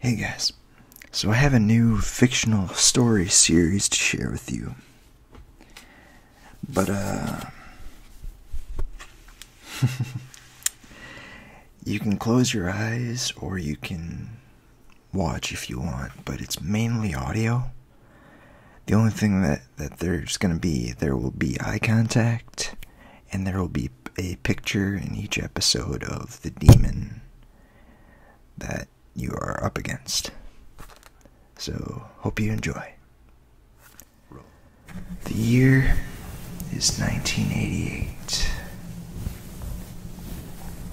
Hey guys, so I have a new fictional story series to share with you. But, uh. you can close your eyes or you can watch if you want, but it's mainly audio. The only thing that, that there's gonna be, there will be eye contact and there will be a picture in each episode of the demon that you are up against. So, hope you enjoy. The year is 1988.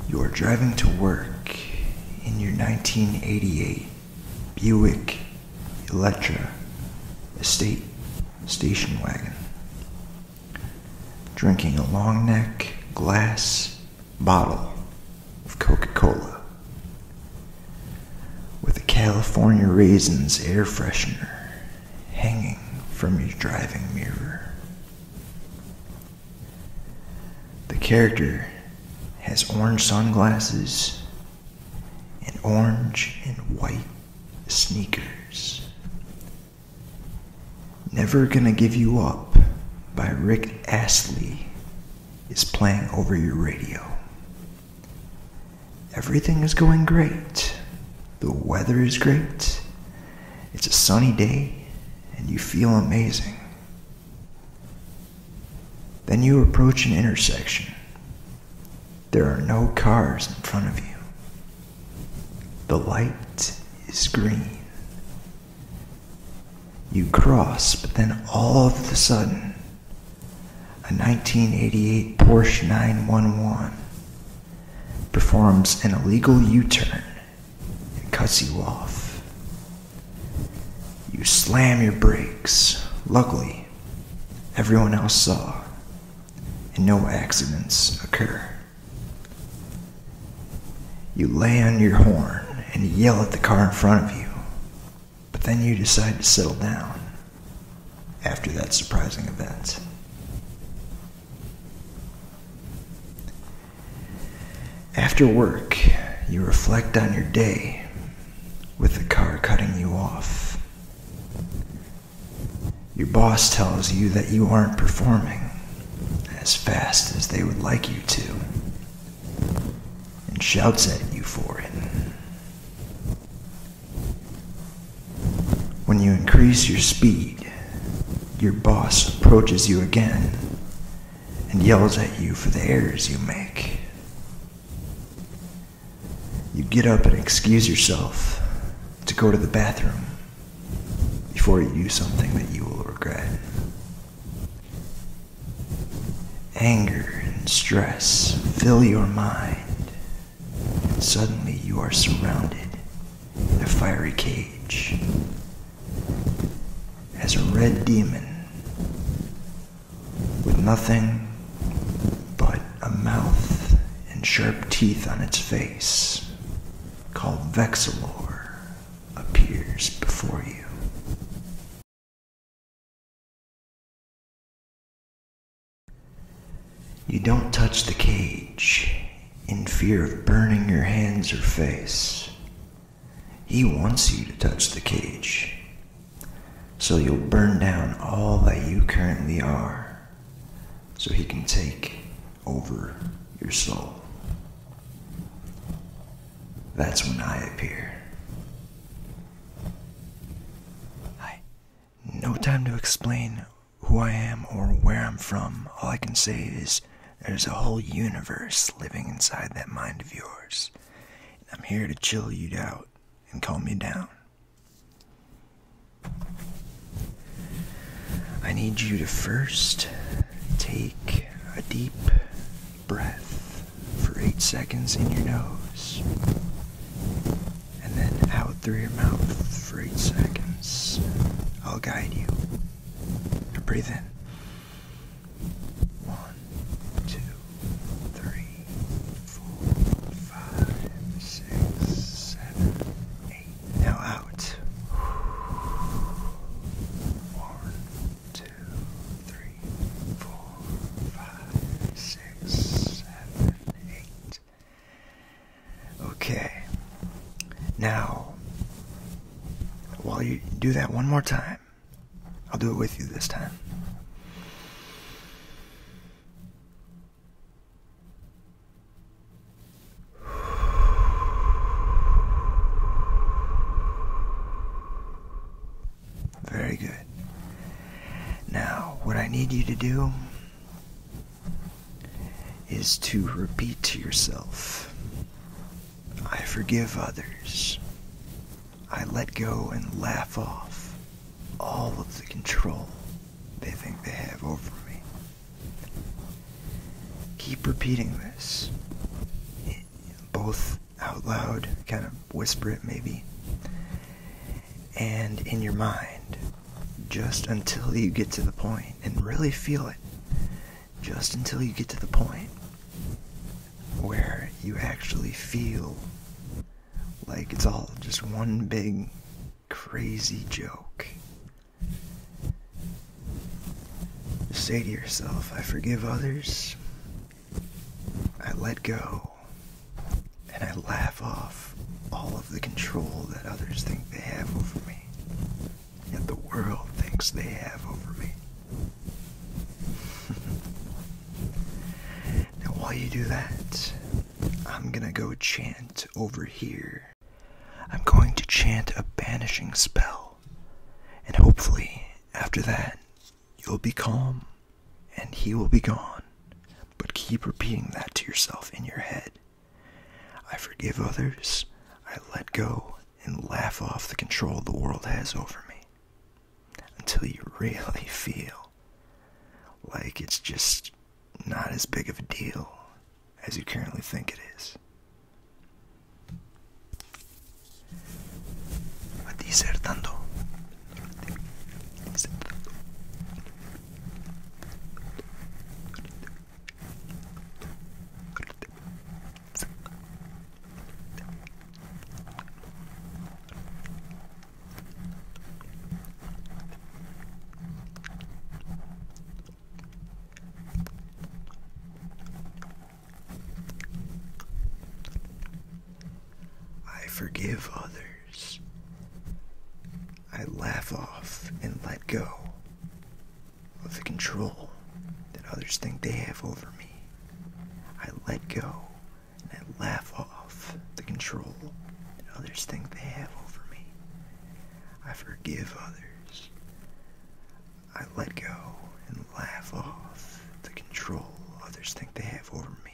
You are driving to work in your 1988 Buick Electra estate station wagon drinking a long neck glass bottle of Coca Cola with a California Raisins air freshener hanging from your driving mirror. The character has orange sunglasses and orange and white sneakers Never Gonna Give You Up by Rick Astley is playing over your radio. Everything is going great. The weather is great. It's a sunny day and you feel amazing. Then you approach an intersection. There are no cars in front of you. The light is green. You cross, but then all of a sudden, a 1988 Porsche 911 performs an illegal U turn and cuts you off. You slam your brakes. Luckily, everyone else saw and no accidents occur. You lay on your horn and yell at the car in front of you, but then you decide to settle down after that surprising event. After work, you reflect on your day with the car cutting you off. Your boss tells you that you aren't performing as fast as they would like you to and shouts at you for it. When you increase your speed, your boss approaches you again and yells at you for the errors you make you get up and excuse yourself to go to the bathroom before you do something that you will regret. Anger and stress fill your mind, and suddenly you are surrounded in a fiery cage as a red demon with nothing but a mouth and sharp teeth on its face, called Vexillor, appears before you. You don't touch the cage in fear of burning your hands or face. He wants you to touch the cage, so you'll burn down all that you currently are so he can take over your soul. That's when I appear. Hi. No time to explain who I am or where I'm from. All I can say is there's a whole universe living inside that mind of yours. And I'm here to chill you out and calm you down. I need you to first take a deep breath for eight seconds in your nose and then out through your mouth for eight seconds. I'll guide you. breathe in. One, two, three, four, five, six, seven, eight. Now out. One, two, three, four, five, six, seven, eight. Okay. Now, while you do that one more time, I'll do it with you this time. Very good. Now, what I need you to do is to repeat to yourself I forgive others. I let go and laugh off all of the control they think they have over me. Keep repeating this, both out loud, kind of whisper it maybe, and in your mind, just until you get to the point and really feel it, just until you get to the point where you actually feel like it's all just one big crazy joke. say to yourself, I forgive others, I let go, and I laugh off all of the control that others think they have over me, that the world thinks they have over me. Now, while you do that, I'm gonna go chant over here. I'm going to chant a banishing spell, and hopefully, after that, you'll be calm and he will be gone. But keep repeating that to yourself in your head. I forgive others, I let go, and laugh off the control the world has over me until you really feel like it's just not as big of a deal as you currently think it is. I forgive others. I laugh off and let go of the control that others think they have over me. I let go and I laugh off the control that others think they have over me. I forgive others. I let go and laugh off the control others think they have over me.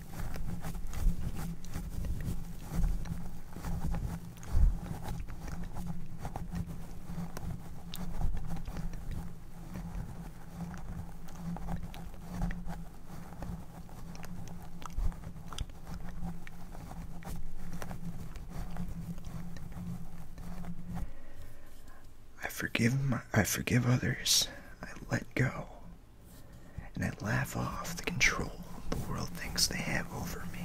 I forgive my, I forgive others. I let go and I laugh off the control the world thinks they have over me.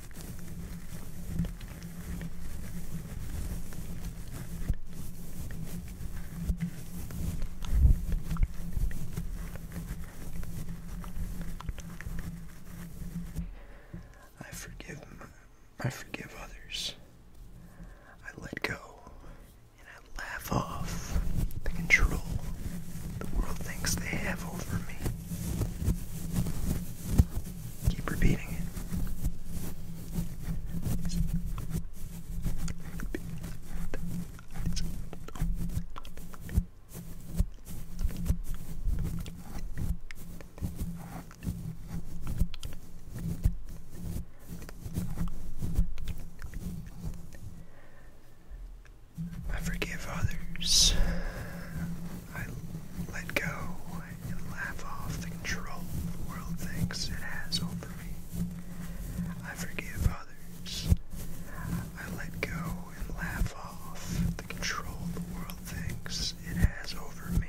I forgive I forgive others. I let go and I laugh off the control the world thinks they have over me. Keep repeating it. I forgive others. I let go and laugh off the control the world thinks it has over me. I forgive others. I let go and laugh off the control the world thinks it has over me.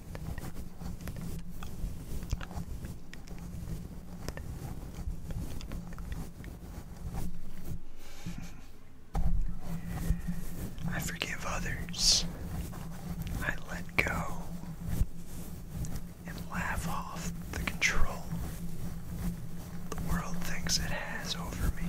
I forgive others. I let go and laugh off the control the world thinks it has over me.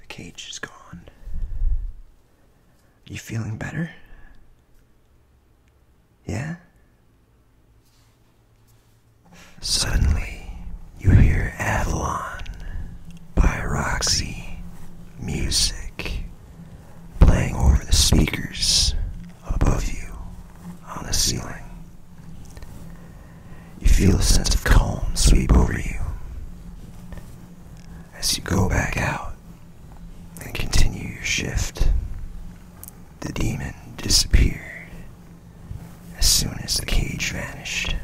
The cage is gone. Are You feeling better? Yeah? Suddenly, you hear Avalon by Roxy Music playing over the speakers above you on the ceiling. You feel a sense of calm sweep over you as you go back out and continue your shift. The demon disappeared as soon as the cage vanished.